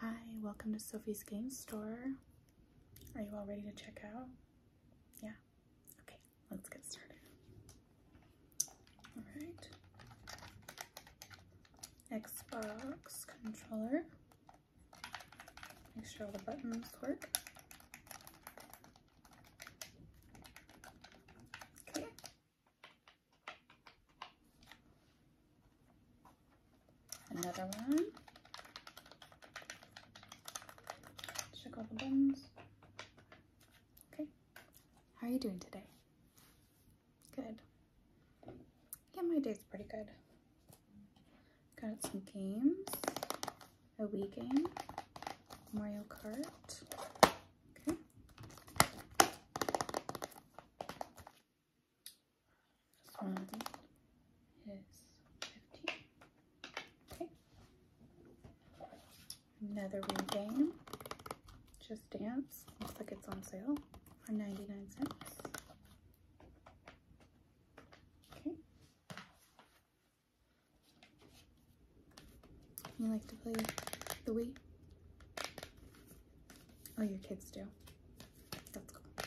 Hi, welcome to Sophie's Game Store. Are you all ready to check out? Yeah? Okay, let's get started. Alright. Xbox controller. Make sure all the buttons work. Okay, Another one. Check all the buttons. Okay. How are you doing today? Good. Yeah, my day's pretty good. Got some games. A Wii game. Mario Kart. Okay. one is Okay. Another regain. Just Dance. Looks like it's on sale for 99 cents. Okay. You like to play the Wii? Oh, your kids do. That's cool.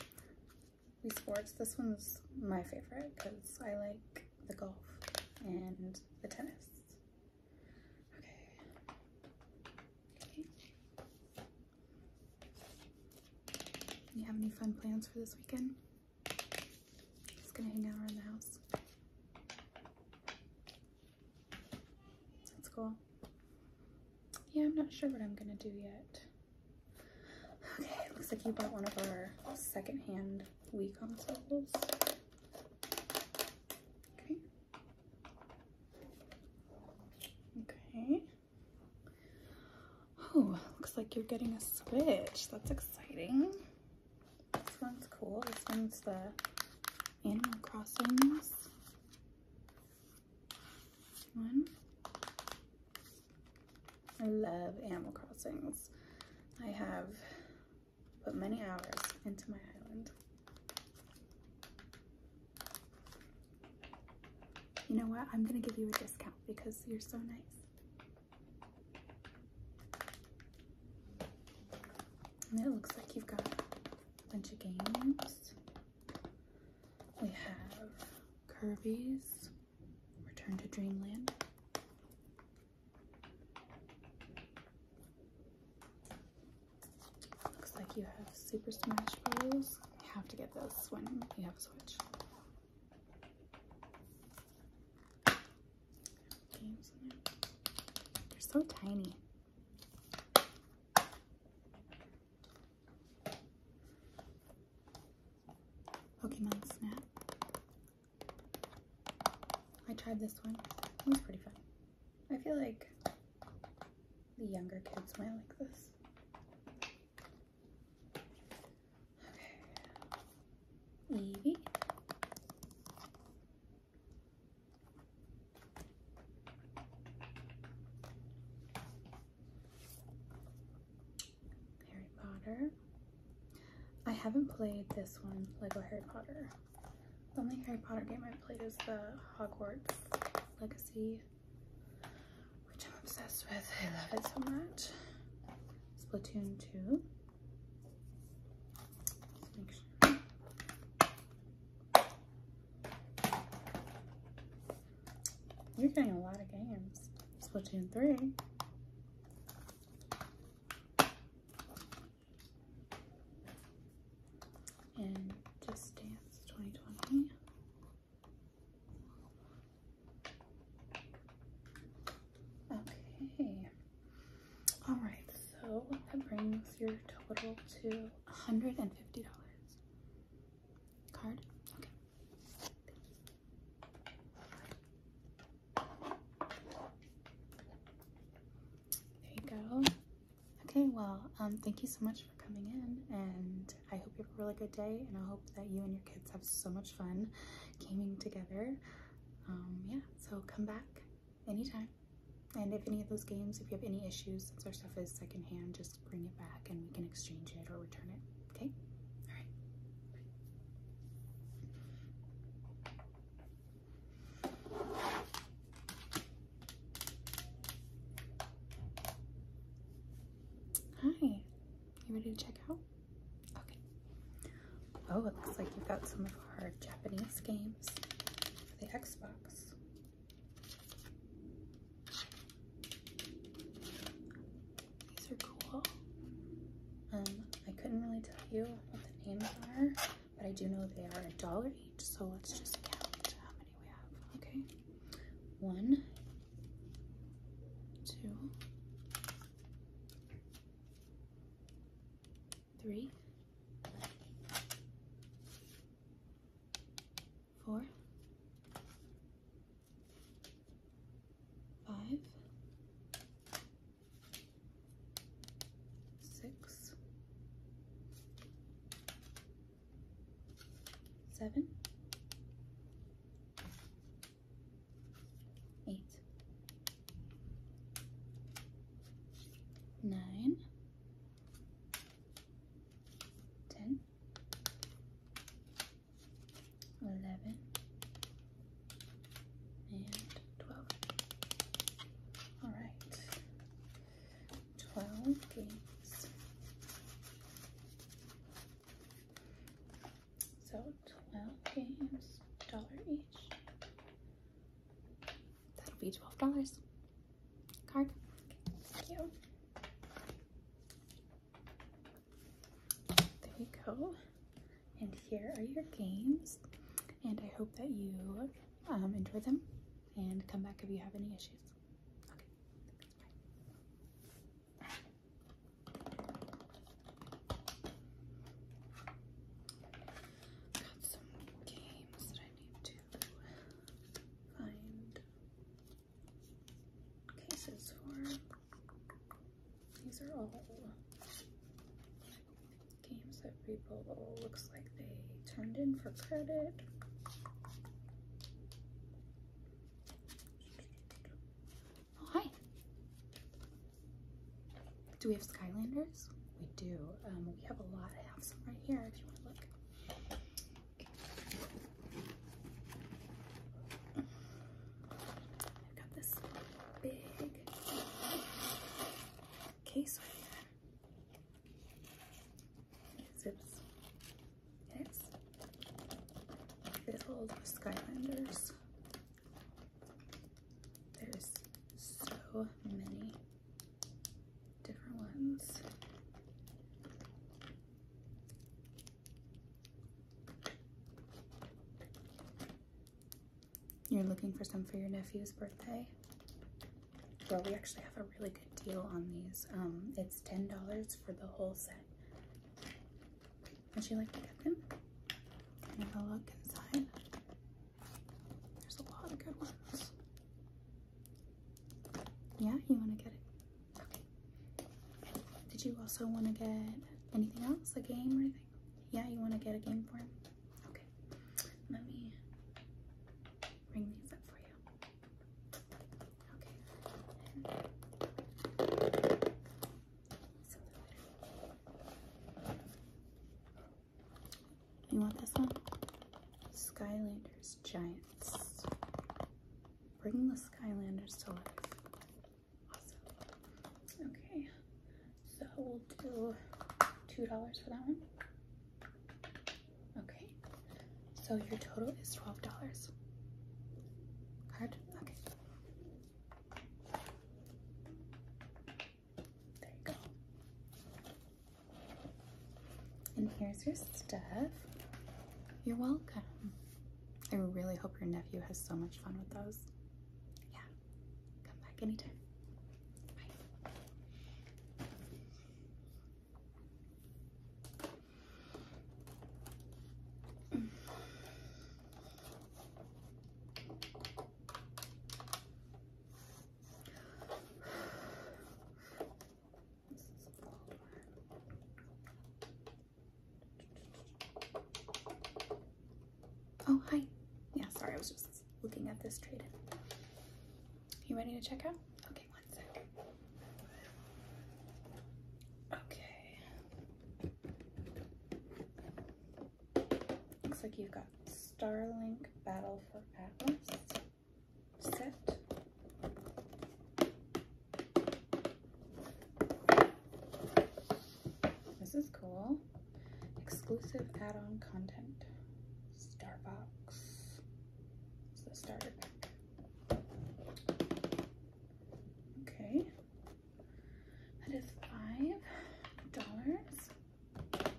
We Sports. This one's my favorite because I like the golf and the tennis. Okay. okay. You have any fun plans for this weekend? Just gonna hang out around the house. That's cool. Yeah, I'm not sure what I'm gonna do yet. Okay, looks like you bought one of our secondhand Wii consoles. Okay. Okay. Oh, looks like you're getting a Switch. That's exciting. This one's cool. This one's the Animal Crossings one. I love Animal Crossings. I have put many hours into my island. You know what? I'm going to give you a discount because you're so nice it looks like you've got a bunch of games. We have Kirby's Return to Dreamland. Looks like you have Super Smash Bros. You have to get those when you have a Switch. They're so tiny. Pokemon Snap. I tried this one. It was pretty fun. I feel like the younger kids might like this. Okay. Eevee. Harry Potter. I haven't played this one, Lego Harry Potter. The only Harry Potter game i played is the Hogwarts Legacy, which I'm obsessed with. I love it so much. Splatoon 2. You're playing a lot of games. Splatoon 3. And Just Dance 2020. Okay. All right, so that brings your total to $150. Card? Okay. There you go. Okay, well, um, thank you so much for coming in, and I hope you have a really good day, and I hope that you and your kids have so much fun gaming together. Um, yeah, so come back anytime. And if any of those games, if you have any issues, since our stuff is secondhand, just bring it back and we can exchange it or return it. Okay? All right. Hi. You ready to check out? Oh, it looks like you've got some of our Japanese games for the Xbox. These are cool. Um, I couldn't really tell you what the names are, but I do know they are a dollar each, so let's just count how many we have, okay? One, two, three, four, five, six, seven, eight, nine, ten, eleven, and twelve. All right, twelve games. So 12 games, dollar each. That'll be $12. Card. Thank you. There you go. And here are your games. And I hope that you um, enjoy them and come back if you have any issues. Got some games that I need to find cases for. These are all games that people looks like they turned in for credit hi. Do we have Skylanders? We do. Um, we have a lot. I have some right here if you want to look. I've got this big case zips. Yes. Filled with Skylanders. There's so many different ones. You're looking for some for your nephew's birthday? Well, we actually have a really good deal on these. Um, it's $10 for the whole set. Would you like to get them? And have a look inside. There's a lot of good ones. Yeah, you want to get it? Okay. Did you also want to get anything else? A game or anything? Yeah, you want to get a game for him? Okay. Let me bring these up for you. Okay. You want this one? Skylanders Giants. Bring the Skylanders to life. Awesome. Okay, so we'll do $2 for that one. Okay, so your total is $12. Card? Okay. There you go. And here's your stuff. You're welcome. I really hope your nephew has so much fun with those. Yeah, come back anytime. Bye. Mm. Oh, hi. Yeah, sorry, I was just looking at this trade You ready to check out? Okay, one second. Okay, Looks like you've got Starlink Battle for Atlas set. This is cool. Exclusive add-on content. Starbox. It's the starter Okay. That is five dollars.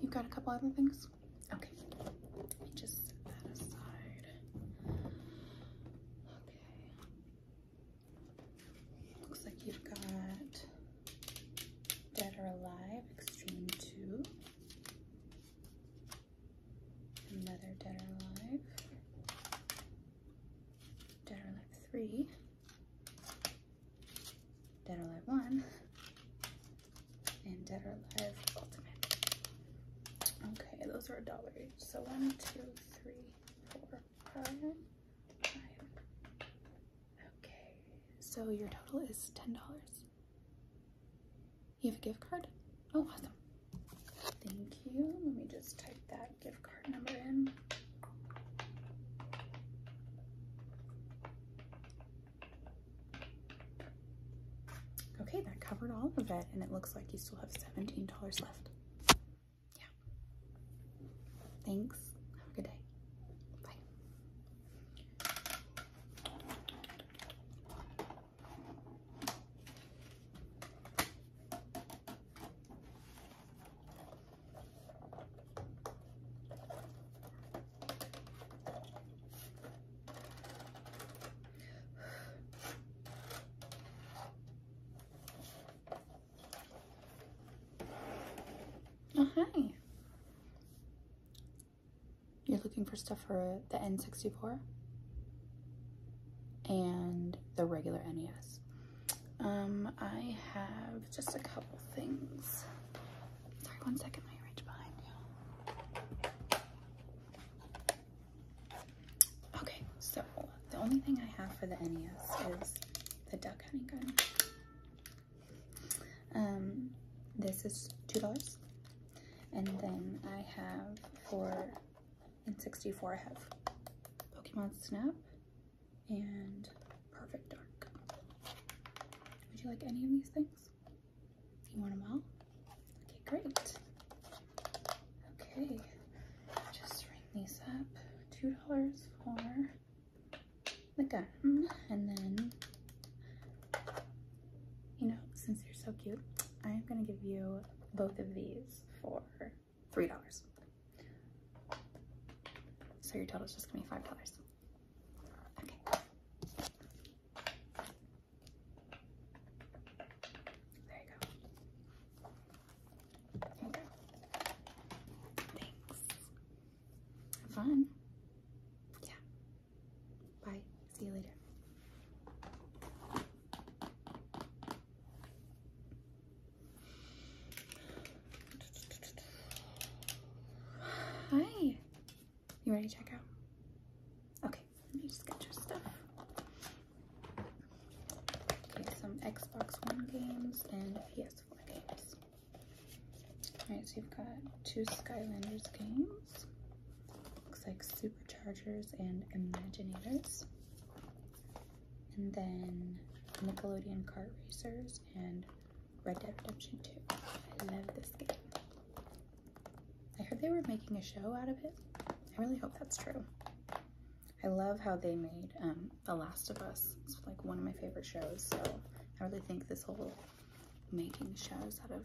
You've got a couple other things? Okay. Let me just set that aside. Okay. Looks like you've got Dead or Alive Extreme 2. Another Dead or Alive dead or alive three, dead or alive one, and dead or alive ultimate. Okay, those are a dollar each. So one, two, three, four, five. Okay, so your total is ten dollars. You have a gift card? Oh, awesome. Thank you. Let me just type that gift card number in. Okay, that covered all of it, and it looks like you still have $17 left. Yeah. Thanks. Have a good day. Bye. Oh, hi. You're looking for stuff for the N64? and the regular NES. Um, I have just a couple things. Sorry, one second, let me reach behind you. Okay, so the only thing I have for the NES is the duck hunting gun. Um, this is $2. And then I have for and 64 I have Pokemon Snap and Perfect Dark. Would you like any of these things? You want them all? Okay, great. Okay, just ring these up. $2 for the gun. And then, you know, since you're so cute, I'm gonna give you both of these for $3. So your total is just gonna be $5. Okay. There you go. Thanks. Have fun. Yeah. Bye. See you later. Hi. You ready to check out? Okay, let me just get your stuff. Okay, some Xbox One games and PS4 games. Alright, so you've got two Skylanders games. Looks like Superchargers and Imaginators and then Nickelodeon Kart Racers and Red Dead Redemption 2. I love this game. I heard they were making a show out of it. I really hope that's true. I love how they made um, The Last of Us. It's like one of my favorite shows, so I really think this whole making shows out of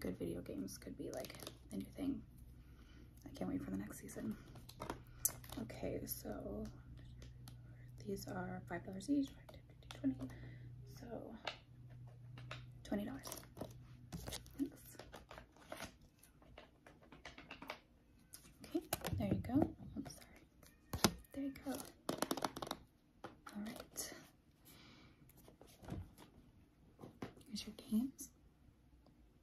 good video games could be like a new thing. I can't wait for the next season. Okay, so these are five dollars each, five, 50, 20. So twenty dollars. Thanks. Okay, there you go. sorry. There you go. All right. Here's your games.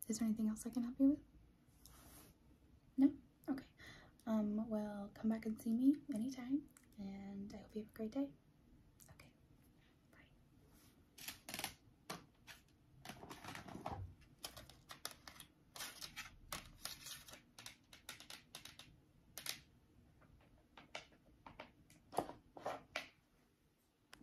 Is there anything else I can help you with? No? Okay. Um, well, come back and see me anytime, and I hope you have a great day. Okay. Bye.